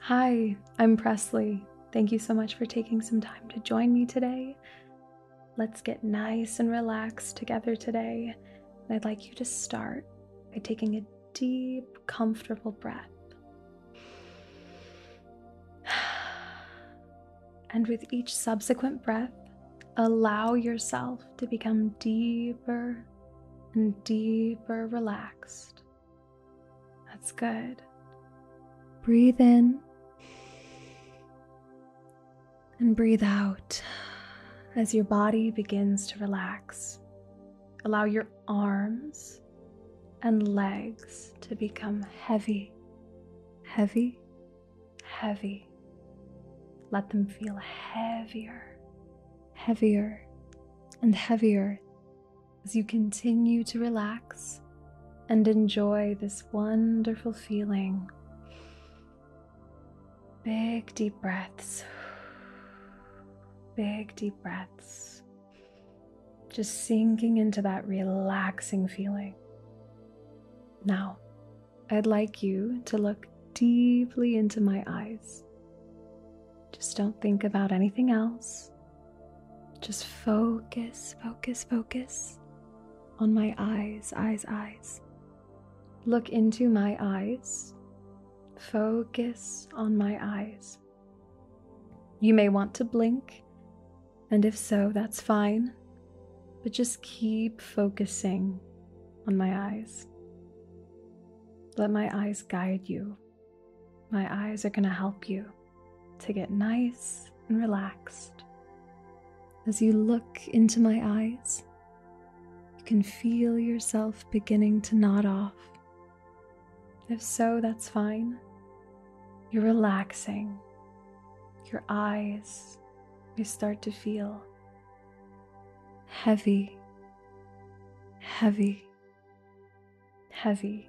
Hi, I'm Presley. Thank you so much for taking some time to join me today. Let's get nice and relaxed together today. I'd like you to start by taking a deep, comfortable breath. And with each subsequent breath, allow yourself to become deeper and deeper relaxed. That's good. Breathe in and breathe out as your body begins to relax. Allow your arms and legs to become heavy, heavy, heavy. Let them feel heavier, heavier, and heavier as you continue to relax and enjoy this wonderful feeling. Big deep breaths. Big deep breaths. Just sinking into that relaxing feeling. Now, I'd like you to look deeply into my eyes just don't think about anything else. Just focus, focus, focus on my eyes, eyes, eyes. Look into my eyes. Focus on my eyes. You may want to blink, and if so, that's fine. But just keep focusing on my eyes. Let my eyes guide you my eyes are going to help you to get nice and relaxed. As you look into my eyes, you can feel yourself beginning to nod off. If so, that's fine. You're relaxing. Your eyes may start to feel heavy, heavy heavy.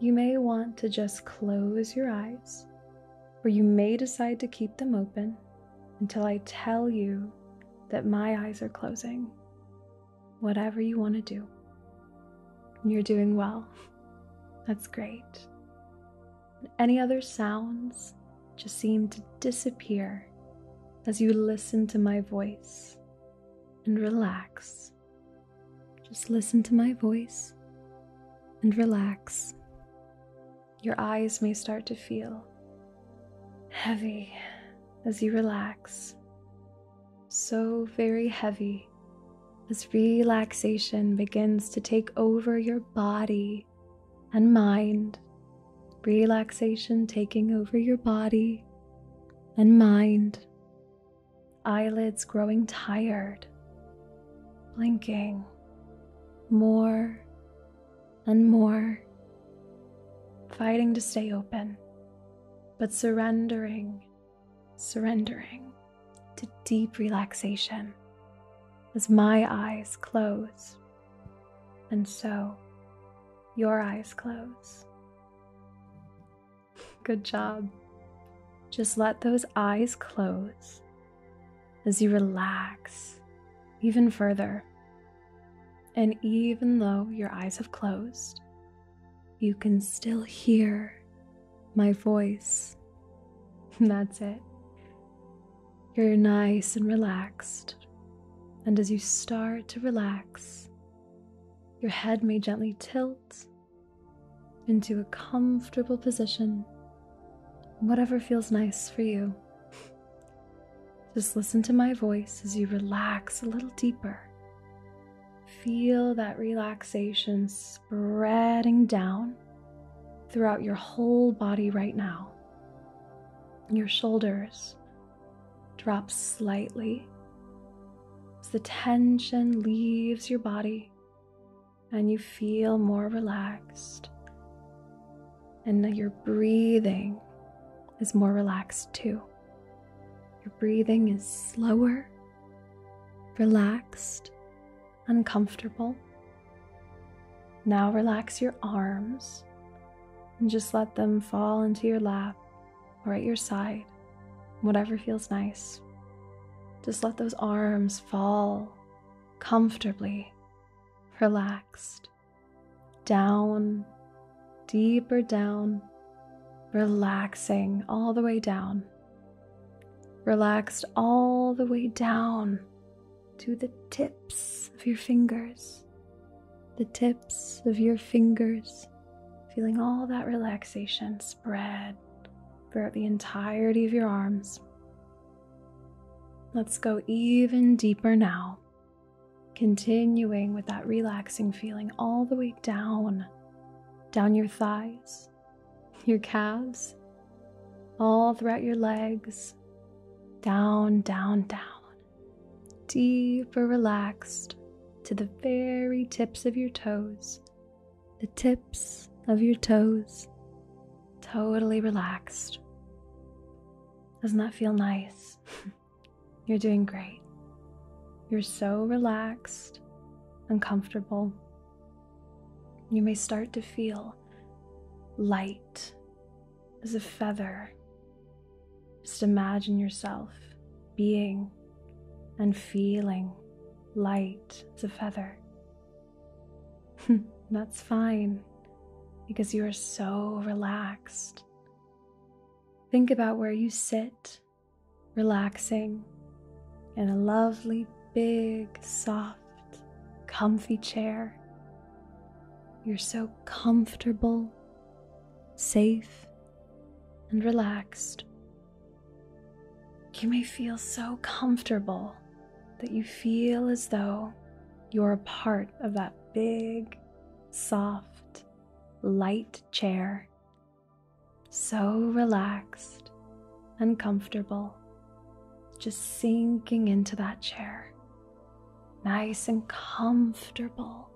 You may want to just close your eyes, or you may decide to keep them open until I tell you that my eyes are closing. Whatever you want to do, you're doing well. That's great. Any other sounds just seem to disappear as you listen to my voice and relax. Just listen to my voice and relax. Your eyes may start to feel heavy as you relax. So very heavy as relaxation begins to take over your body and mind. Relaxation taking over your body and mind eyelids growing tired, blinking more and more, fighting to stay open, but surrendering, surrendering to deep relaxation as my eyes close. And so your eyes close. Good job. Just let those eyes close as you relax even further. And even though your eyes have closed, you can still hear my voice. That's it. You're nice and relaxed. And as you start to relax, your head may gently tilt into a comfortable position, whatever feels nice for you. Just listen to my voice as you relax a little deeper. Feel that relaxation spreading down throughout your whole body right now. Your shoulders drops slightly as the tension leaves your body and you feel more relaxed, and your breathing is more relaxed too. Your breathing is slower, relaxed, uncomfortable. Now relax your arms and just let them fall into your lap or at your side, whatever feels nice. Just let those arms fall comfortably, relaxed, down, deeper down, relaxing all the way down, relaxed all the way down to the tips of your fingers, the tips of your fingers feeling all that relaxation spread throughout the entirety of your arms. Let's go even deeper now, continuing with that relaxing feeling all the way down, down your thighs, your calves, all throughout your legs, down, down, down. Deeper relaxed to the very tips of your toes, the tips of your toes, totally relaxed. Doesn't that feel nice? You're doing great. You're so relaxed and comfortable. You may start to feel light as a feather just imagine yourself being and feeling light as a feather. That's fine because you are so relaxed. Think about where you sit, relaxing in a lovely, big, soft, comfy chair. You're so comfortable, safe, and relaxed. You may feel so comfortable that you feel as though you're a part of that big, soft, light chair. So relaxed and comfortable, just sinking into that chair, nice and comfortable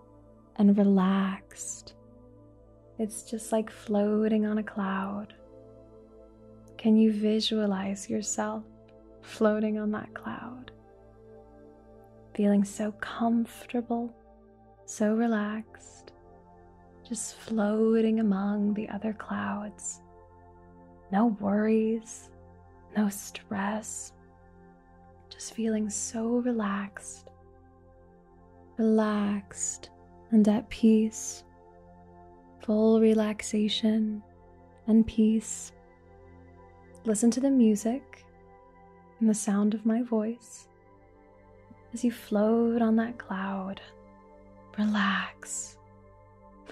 and relaxed. It's just like floating on a cloud. Can you visualize yourself floating on that cloud? Feeling so comfortable, so relaxed, just floating among the other clouds. No worries, no stress, just feeling so relaxed relaxed and at peace, full relaxation and peace. Listen to the music and the sound of my voice as you float on that cloud. Relax,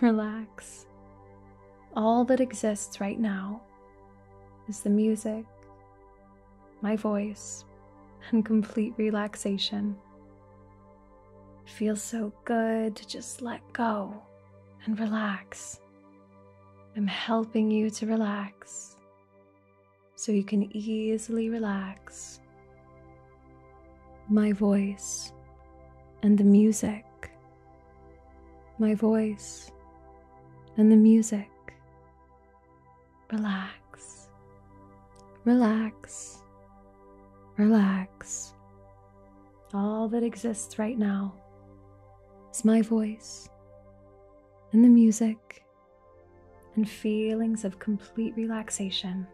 relax. All that exists right now is the music my voice, and complete relaxation. It feels so good to just let go and relax. I'm helping you to relax so you can easily relax. My voice and the music. My voice and the music relax, relax, relax. All that exists right now is my voice and the music and feelings of complete relaxation.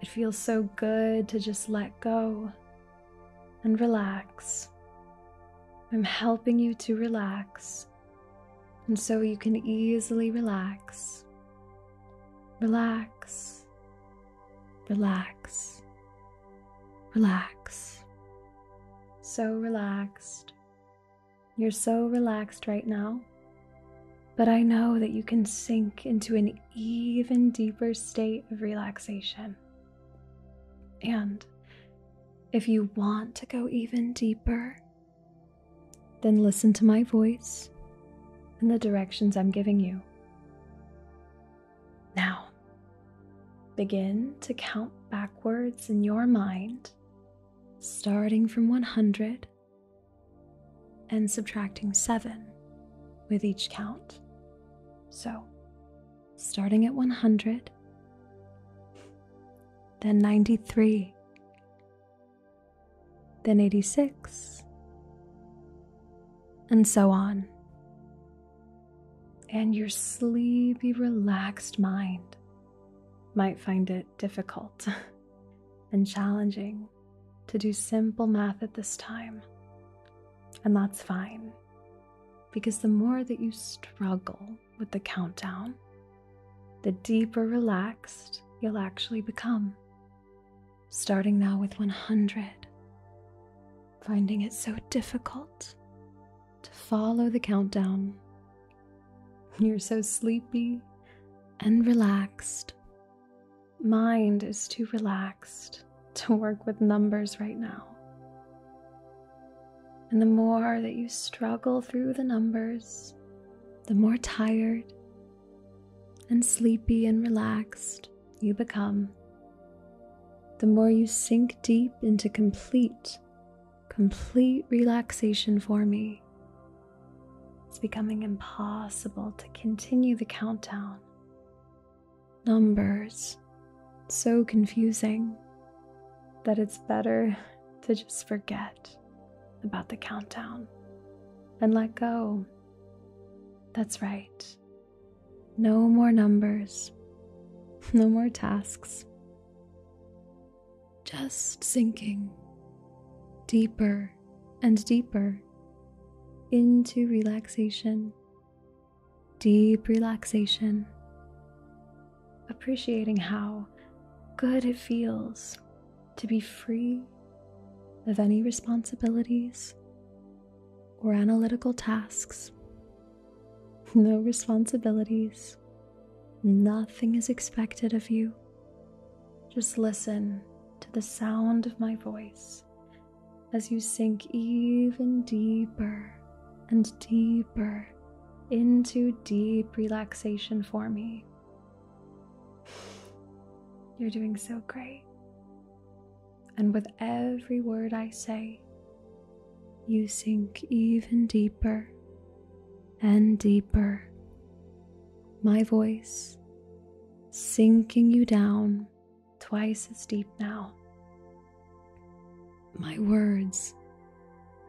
It feels so good to just let go and relax. I'm helping you to relax and so you can easily relax, relax, relax, relax. So relaxed. You're so relaxed right now, but I know that you can sink into an even deeper state of relaxation. And if you want to go even deeper, then listen to my voice and the directions I'm giving you. Now, begin to count backwards in your mind, starting from 100 and subtracting 7 with each count. So, starting at 100, then 93, then 86, and so on. And your sleepy, relaxed mind might find it difficult and challenging to do simple math at this time. And that's fine, because the more that you struggle with the countdown, the deeper relaxed you'll actually become. Starting now with 100, finding it so difficult to follow the countdown. You're so sleepy and relaxed. Mind is too relaxed to work with numbers right now. And the more that you struggle through the numbers, the more tired and sleepy and relaxed you become. The more you sink deep into complete, complete relaxation for me. It's becoming impossible to continue the countdown. Numbers, so confusing that it's better to just forget about the countdown and let go. That's right. No more numbers, no more tasks. Just sinking deeper and deeper into relaxation, deep relaxation, appreciating how good it feels to be free of any responsibilities or analytical tasks. No responsibilities, nothing is expected of you. Just listen to the sound of my voice as you sink even deeper and deeper into deep relaxation for me. You're doing so great. And with every word I say, you sink even deeper and deeper. My voice sinking you down twice as deep now. My words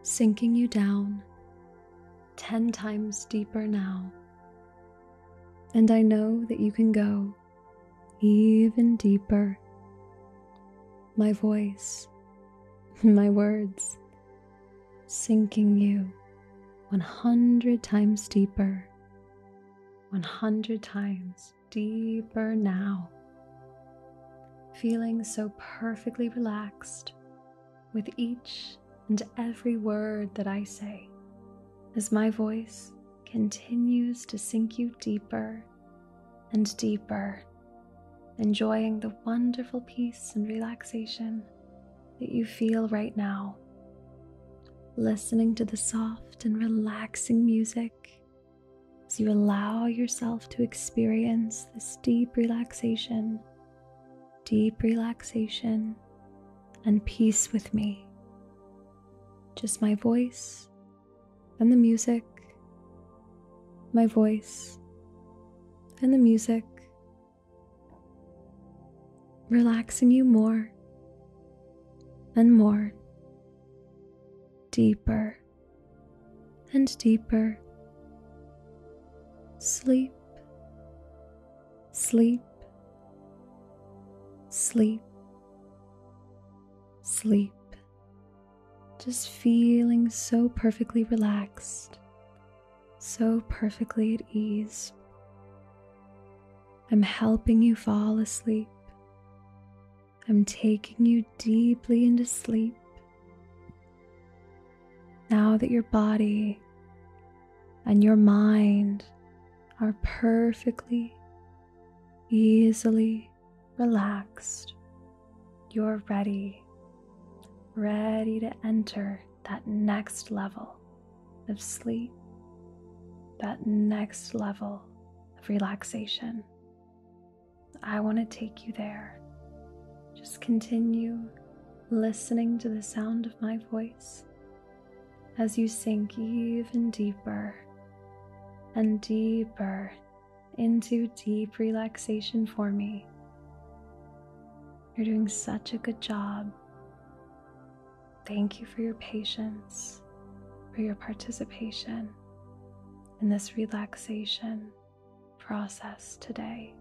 sinking you down 10 times deeper now. And I know that you can go even deeper. My voice, my words, sinking you 100 times deeper, 100 times deeper now. Feeling so perfectly relaxed with each and every word that I say as my voice continues to sink you deeper and deeper, enjoying the wonderful peace and relaxation that you feel right now. Listening to the soft and relaxing music as you allow yourself to experience this deep relaxation deep relaxation and peace with me. Just my voice and the music, my voice and the music, relaxing you more and more, deeper and deeper. Sleep sleep, sleep, sleep. Just feeling so perfectly relaxed, so perfectly at ease. I'm helping you fall asleep. I'm taking you deeply into sleep. Now that your body and your mind are perfectly, easily relaxed, you're ready, ready to enter that next level of sleep, that next level of relaxation. I want to take you there. Just continue listening to the sound of my voice as you sink even deeper and deeper into deep relaxation for me. You're doing such a good job. Thank you for your patience, for your participation in this relaxation process today.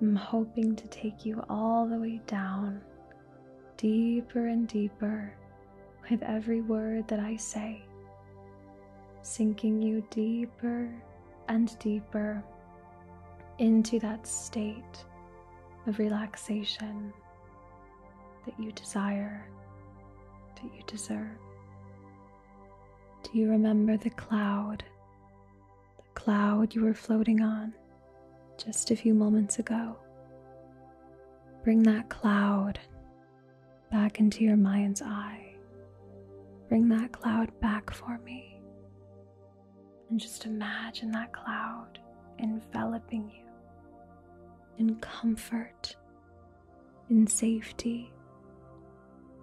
I'm hoping to take you all the way down, deeper and deeper, with every word that I say, sinking you deeper and deeper into that state of relaxation that you desire, that you deserve. Do you remember the cloud cloud you were floating on just a few moments ago. Bring that cloud back into your mind's eye. Bring that cloud back for me. And just imagine that cloud enveloping you in comfort, in safety,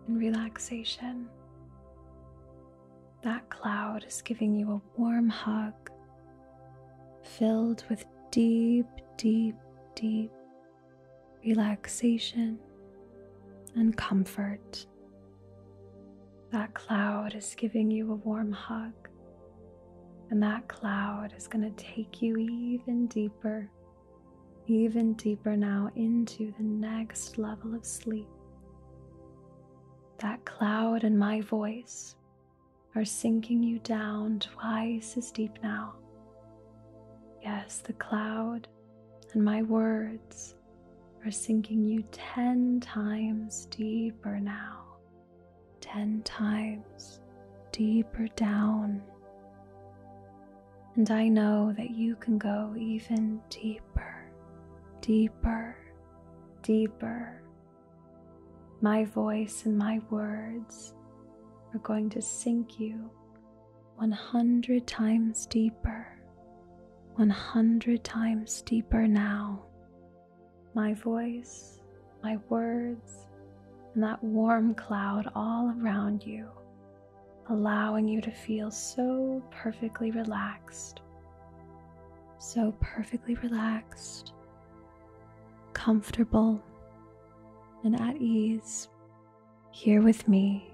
in relaxation. That cloud is giving you a warm hug filled with deep, deep, deep relaxation and comfort. That cloud is giving you a warm hug, and that cloud is going to take you even deeper, even deeper now into the next level of sleep that cloud and my voice are sinking you down twice as deep now. Yes, the cloud and my words are sinking you 10 times deeper now, 10 times deeper down. And I know that you can go even deeper, deeper, deeper. My voice and my words are going to sink you 100 times deeper, 100 times deeper now. My voice, my words, and that warm cloud all around you allowing you to feel so perfectly relaxed, so perfectly relaxed, comfortable, and at ease here with me.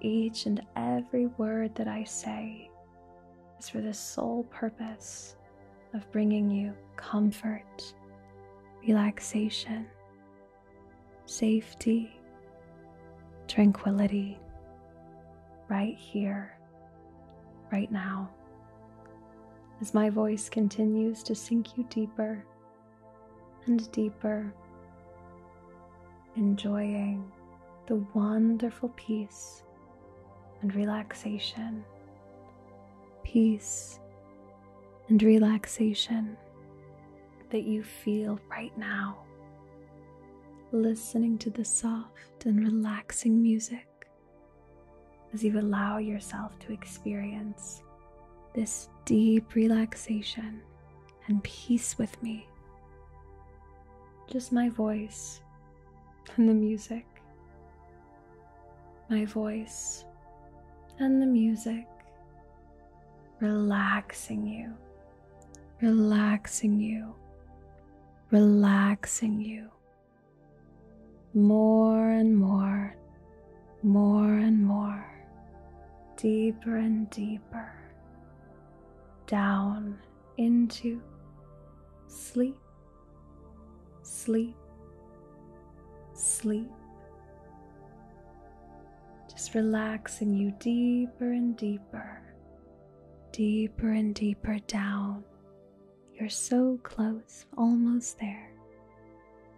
Each and every word that I say is for the sole purpose of bringing you comfort, relaxation, safety, tranquility, right here, right now. As my voice continues to sink you deeper and deeper, enjoying the wonderful peace and relaxation, peace and relaxation that you feel right now, listening to the soft and relaxing music as you allow yourself to experience this deep relaxation and peace with me. Just my voice and the music. My voice and the music relaxing you relaxing you, relaxing you more and more, more and more, deeper and deeper down into sleep, sleep, sleep. Just relaxing you deeper and deeper deeper and deeper down. You're so close, almost there.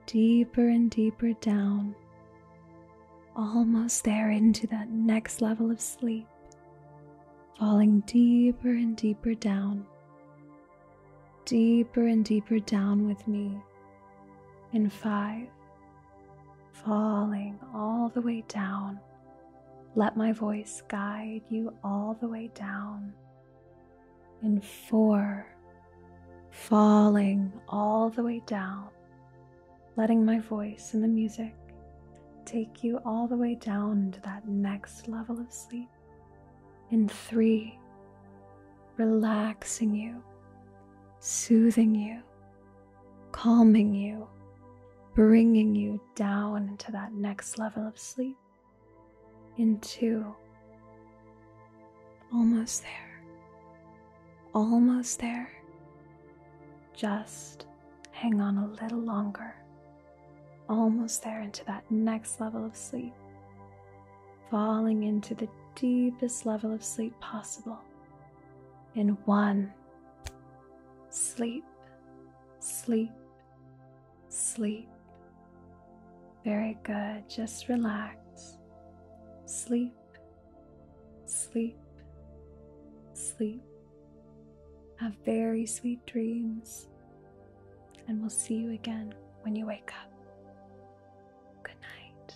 Deeper and deeper down, almost there into that next level of sleep, falling deeper and deeper down, deeper and deeper down with me in five, falling all the way down. Let my voice guide you all the way down. In four, falling all the way down, letting my voice and the music take you all the way down to that next level of sleep. In three, relaxing you, soothing you calming you, bringing you down into that next level of sleep, into almost there, almost there. Just hang on a little longer, almost there into that next level of sleep, falling into the deepest level of sleep possible in one Sleep, sleep, sleep. Very good. Just relax. Sleep, sleep, sleep. Have very sweet dreams. And we'll see you again when you wake up. Good night.